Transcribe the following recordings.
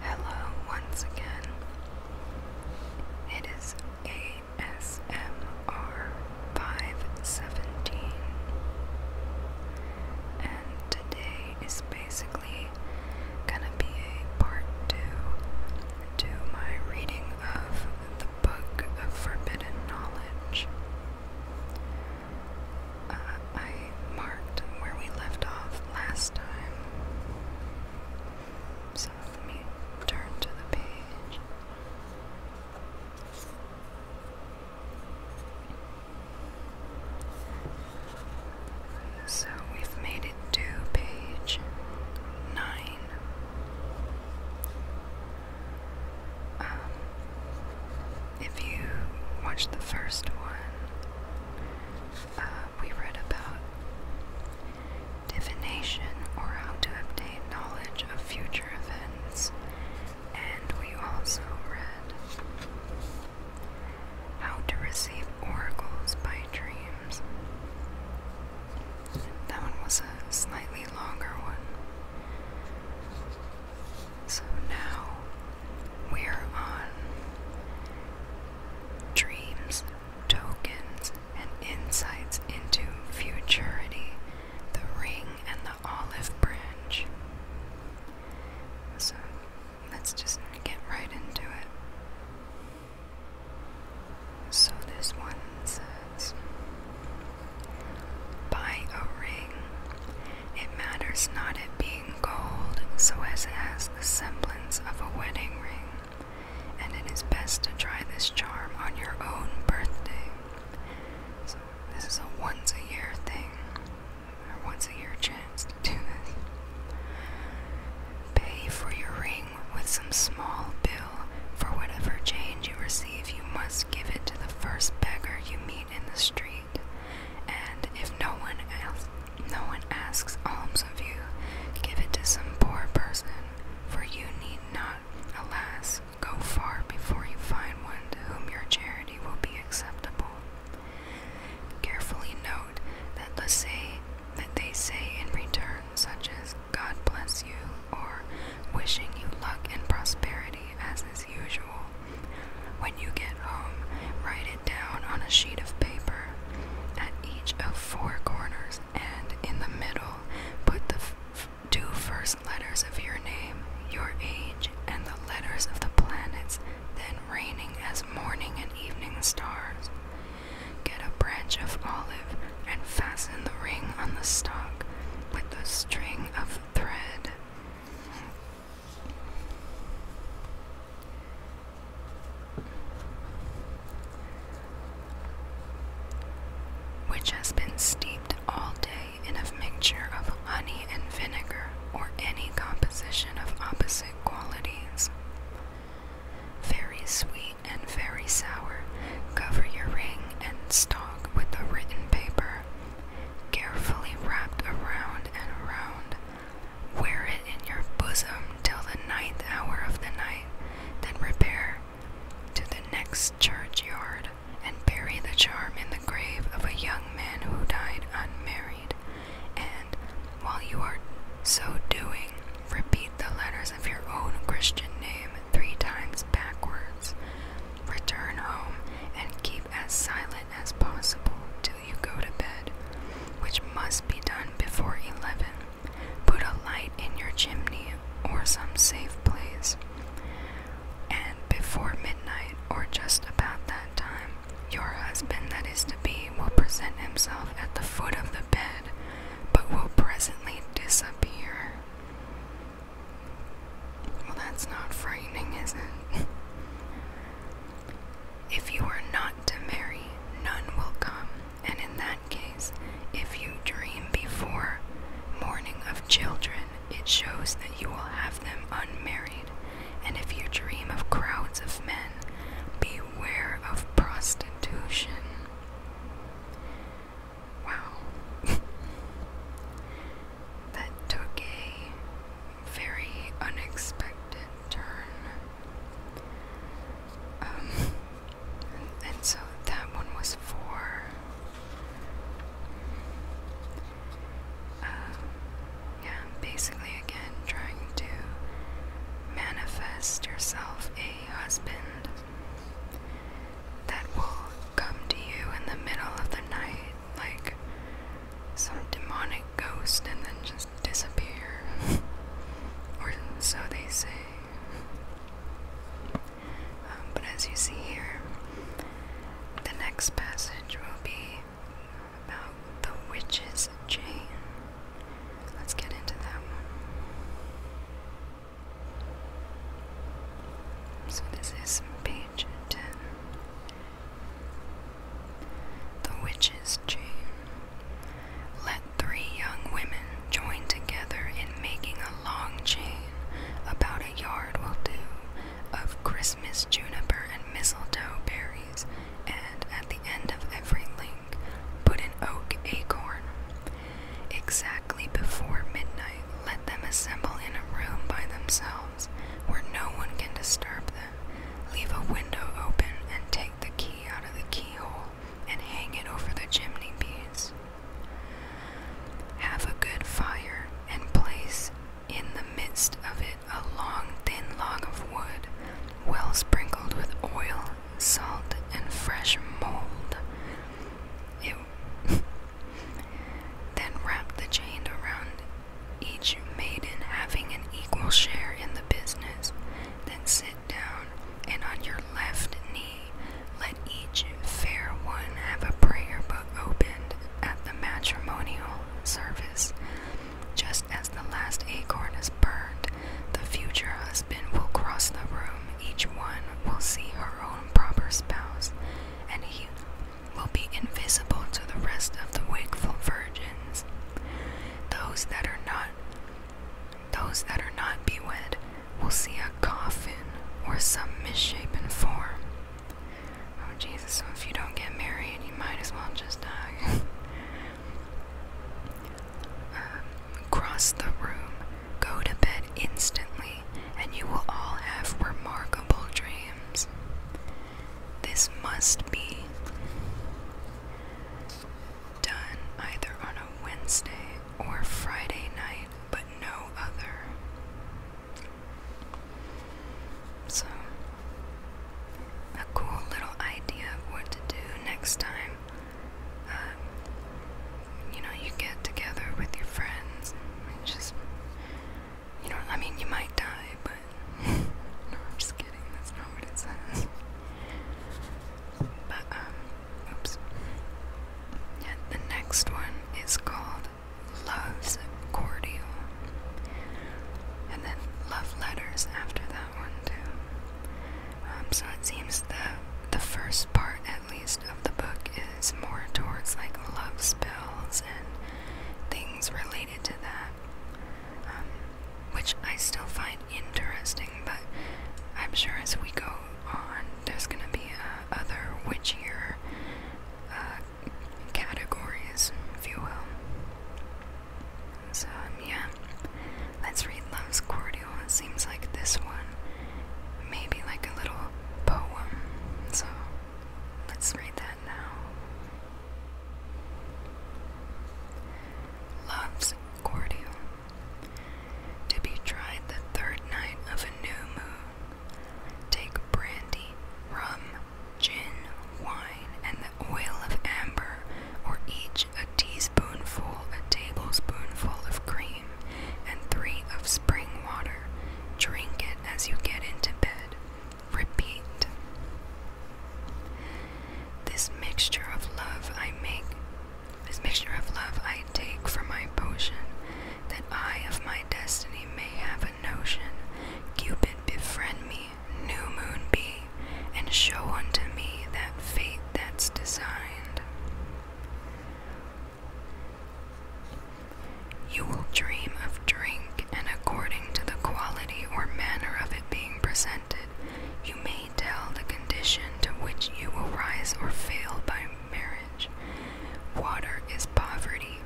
Hello once again. It is ASMR 517. And today is basically gonna be a part two to my reading of the Book of Forbidden Knowledge. Uh, I marked where we left off last time. So let me turn to the page. So we've made it to page nine. Um, if you watch the first one, uh, we read about divination or how to obtain knowledge of future events, and we also read how to receive oracles by dreams. That one was a slightly longer one. So now we're on dreams, tokens, and insights into futurity, the ring, and the olive branch. So let's just get right into it. So this one says Buy a ring. It matters not it being gold, so as it has the semblance of a wedding ring, and it is best to try this charm on your own birthday. this is a once a year thing, a once a year chance to do this. Pay for your ring with some small bill. For whatever change you receive, you must give it to the first beggar you meet in the street, and if no one else, no one asks alms of you, give it to some poor person, for you need not, alas, go far before you find one to whom your charity will be acceptable. Carefully note that the say that they say in return, such as "God bless you" or "wishing you luck and prosperity," as is usual. When you get home, write it down on a sheet of paper at each of four corners and in the middle put the two first letters of your name, your age, and the letters of the planets then reigning as morning and evening stars. Get a branch of olive and fasten the ring on the stalk with a string of thread which has been steeped all day in a mixture of honey and vinegar or any composition of opposite qualities. Very sweet and very sour. Cover your ring and stalk with the written paper carefully wrapped around and around. Wear it in your bosom till the ninth hour of the night, then repair to the next churchyard and bury the charm in the grave of a young man who died unmarried. And while you are so doing, repeat the letters of your own Christian name three times backwards. Return home and keep as silent as possible till you go to bed, which must be done before 11. Put a light in your chimney or some safe place, and before midnight or just about that time, your husband that is to be will present himself at the foot of the bed, but will presently disappear. Well, that's not frightening, is it? if you are not to marry, none will come, and in that case, if you dream before morning of children, it shows that you will have them unmarried, and if you dream of crowds of men, beware of prostitution. Wow. that took a very unexpected turn. Um, and, so that one was four. Uh, um, yeah, basically, again, trying to manifest yourself a husband that will come to you in the middle of the night like some demonic ghost and then just disappear. or so they say. Um, but as you see here, the next passage will be about the witch's chain. Let's get into that one. So this is page 10. The Witch's Chain. Let three young women join together in making a long chain, about a yard will do, of Christmas juniper and mistletoe berries, and at the end of every link put an oak acorn. Exactly before midnight, let them assemble in a room by themselves where no one can disturb them. Leave a window open and take the key out of the keyhole and hang it over the chimney piece. Have a good fire and place in the midst of it a long, thin log of wood, well sprinkled with oil, salt, and fresh mold. then wrap the chain around each maiden having an equal share in the business. Then sit down and on your left knee let each fair one have a prayer book opened at the matrimonial service. Just as the last acorn is burned, the future husband will cross the room each one will see her own proper spouse, and he will be invisible to the rest of the wakeful virgins. Those that are not those that are not bewed will see a coffin or some misshapen form. Oh Jesus, so if you don't get married, you might as well just die. Um, cross the room, go to bed instantly, and you will all have remarkable dreams. This must be done either on a Wednesday or Friday night, but no other. So, a cool little idea of what to do next time um, you know, you get together with your friends and just, you know, I mean, you might die, but I'm just kidding, that's not what it says. But, um, oops. Yeah, the next one is called Love's Cordial. And then love letters after that one, too. Um, so it seems that the first part, at least, of the book is more towards like love spells and things related to that, um, which I still find interesting. But I'm sure as we go on, there's gonna be uh, other witchier uh, categories, if you will. So um, yeah. Let's read Love's Cordial. It seems like this one may like a little poem. So let's read that now. Love's Cordial. To be tried the third night of a new moon. Take brandy, rum, gin, wine, and the oil of amber, or each a teaspoon teaspoonful, a tablespoonful of cream, and three of spring water. Drink it as you get into bed. Repeat. This mixture of love I make, this mixture of love I take for my potion, that I of my destiny may have a notion. Cupid befriend me, new moon be, and show unto me that fate that's designed. You will dream of drink, and according to the quality or manner of it being presented, you may tell the condition to which you will rise or fail by marriage. Water is poverty,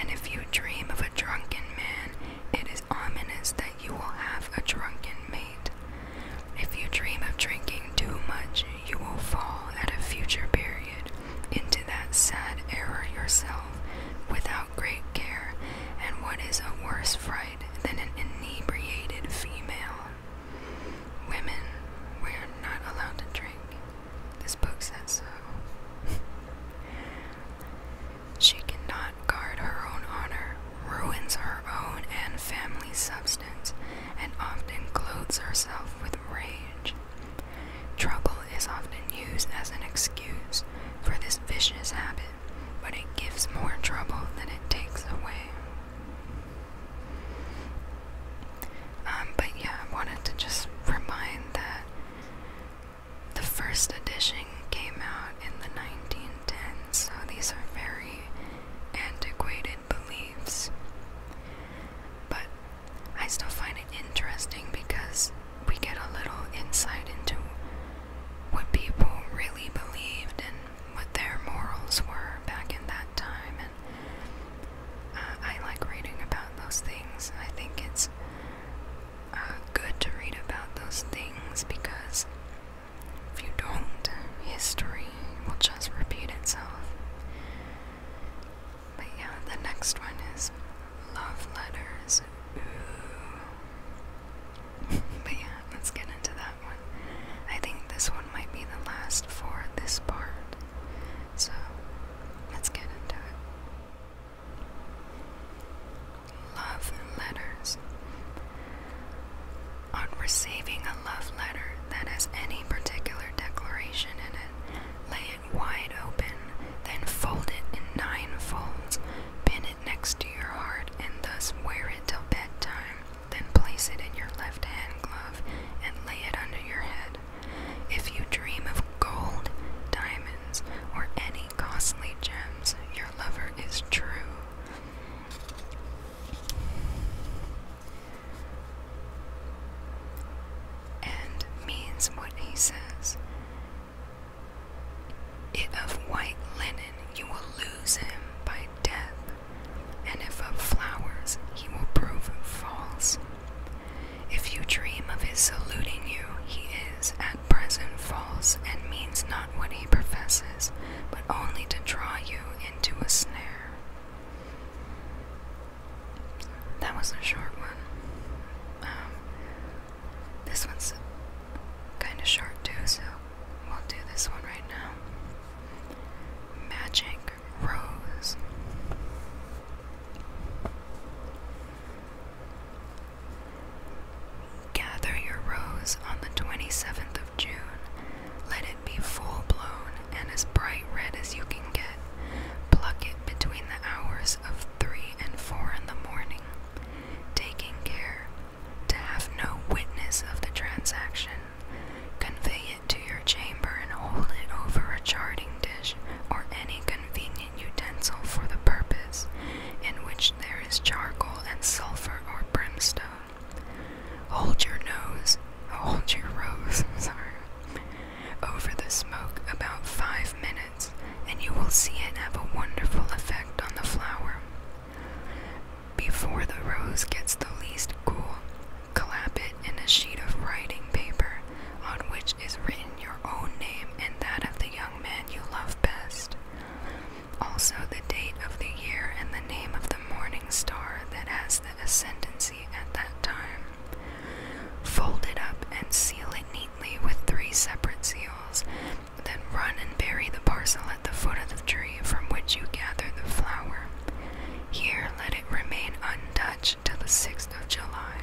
and if you dream of a drunken man, it is ominous that you will have a drunken mate. If you dream of drinking too much, you will fall at a future period into that sad error yourself without great care, and what is a worse fright than an inebriated female? Women, we are not allowed to drink. This book says so. she cannot guard her own honor, ruins her own and family substance, and often clothes herself with rage. Trouble is often used as an excuse for this vicious habit, but it gives more trouble than it takes away. Um, but yeah, I wanted to just remind that the first edition came out in the 19 so these are very antiquated beliefs. But I still find it interesting because we get a little insight into what people really believed and what their morals were back in that time. And uh, I like reading about those things. I think it's uh, good to read about those things because if you don't, history will just repeat itself. But yeah, the next one is love letters. but yeah, let's get into that one. I think this one might be the last for this part. So, let's get into it love letters. On receiving a love letter that has any particular declaration in it, lay it wide open, then fold it in nine folds, pin it next to your heart, and thus wear it till bedtime. Then place it in your left hand glove and lay it under your head. If you dream of gold, diamonds, or any costly gems. Your lover is true. And means what he says. It of white linen you will lose him by death, and if of flowers he will prove false. If you dream of his saluting you, he is at present false and means not what he professes, but only to draw you into a snare. That was a short one. Um, this one's kind of short too, so we'll do this one right now. Magic Rose. Gather your rose on the 27th of June. Let it be full blown and as bright red as you can get. Pluck it between the hours of 3 and 4 in the morning, taking care to have no witness of the transaction. Convey it to your chamber and hold it over a charting dish or any convenient utensil for the purpose, in which there is charcoal and sulfur or brimstone. Hold your nose, hold your rose, sorry, over the smoke about five minutes, and you will see it have a wonderful effect on the flower. Before the rose gets the least cool, clap it in a sheet of writing paper on which is written your own name and that of the young man you love best. Also, the date of the year and the name of the morning star that has the ascendancy at that time. Fold it up and seal it neatly with three separate seals. Then run and bury the parcel at the foot of the tree from which you gather the flower. Here let it remain untouched till the 6th of July.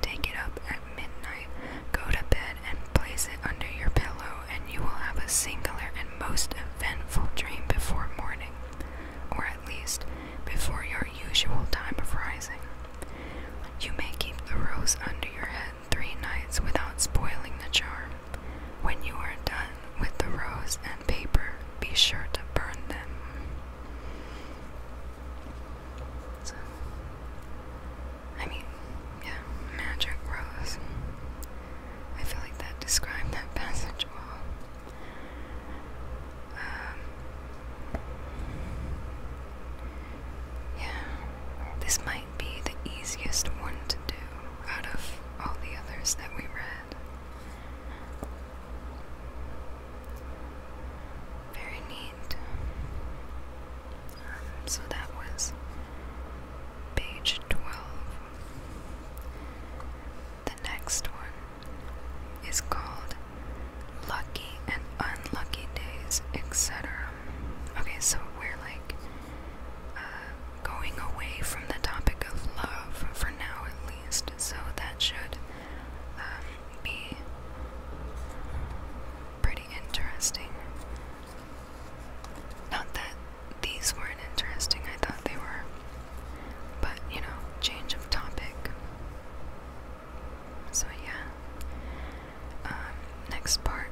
Take it up at midnight, go to bed, and place it under your pillow, and you will have a singular and most eventful dream before morning, or at least before your usual time of rising. You may keep the rose under your head three nights without spoiling the charm. When you are done with the rose and paper, be sure to burn them. I mean, yeah, magic rose. I feel like that describes that passage well. Um, yeah, this might be the easiest one to do out of all the others that we read very neat. Um, so that was page 12. The next one is called Lucky and Unlucky Days, etc. Okay, so we're like uh, going away from the topic of love for now at least, so that should um, be pretty interesting. Not that these weren't interesting, I thought they were. But, you know, change of topic. So, yeah. Um, next part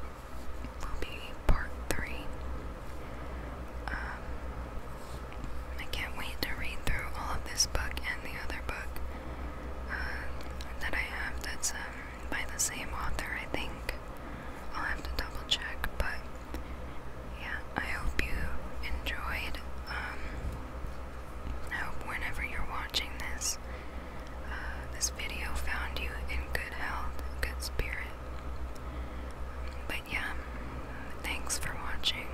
will be part three. Um, I can't wait to read through all of this book and the other book that I have that's um, by the same author, I think. I'll have to double check, but yeah, I hope you enjoyed. Um, I hope whenever you're watching this, uh, this video found you in good health, good spirit. But yeah, thanks for watching.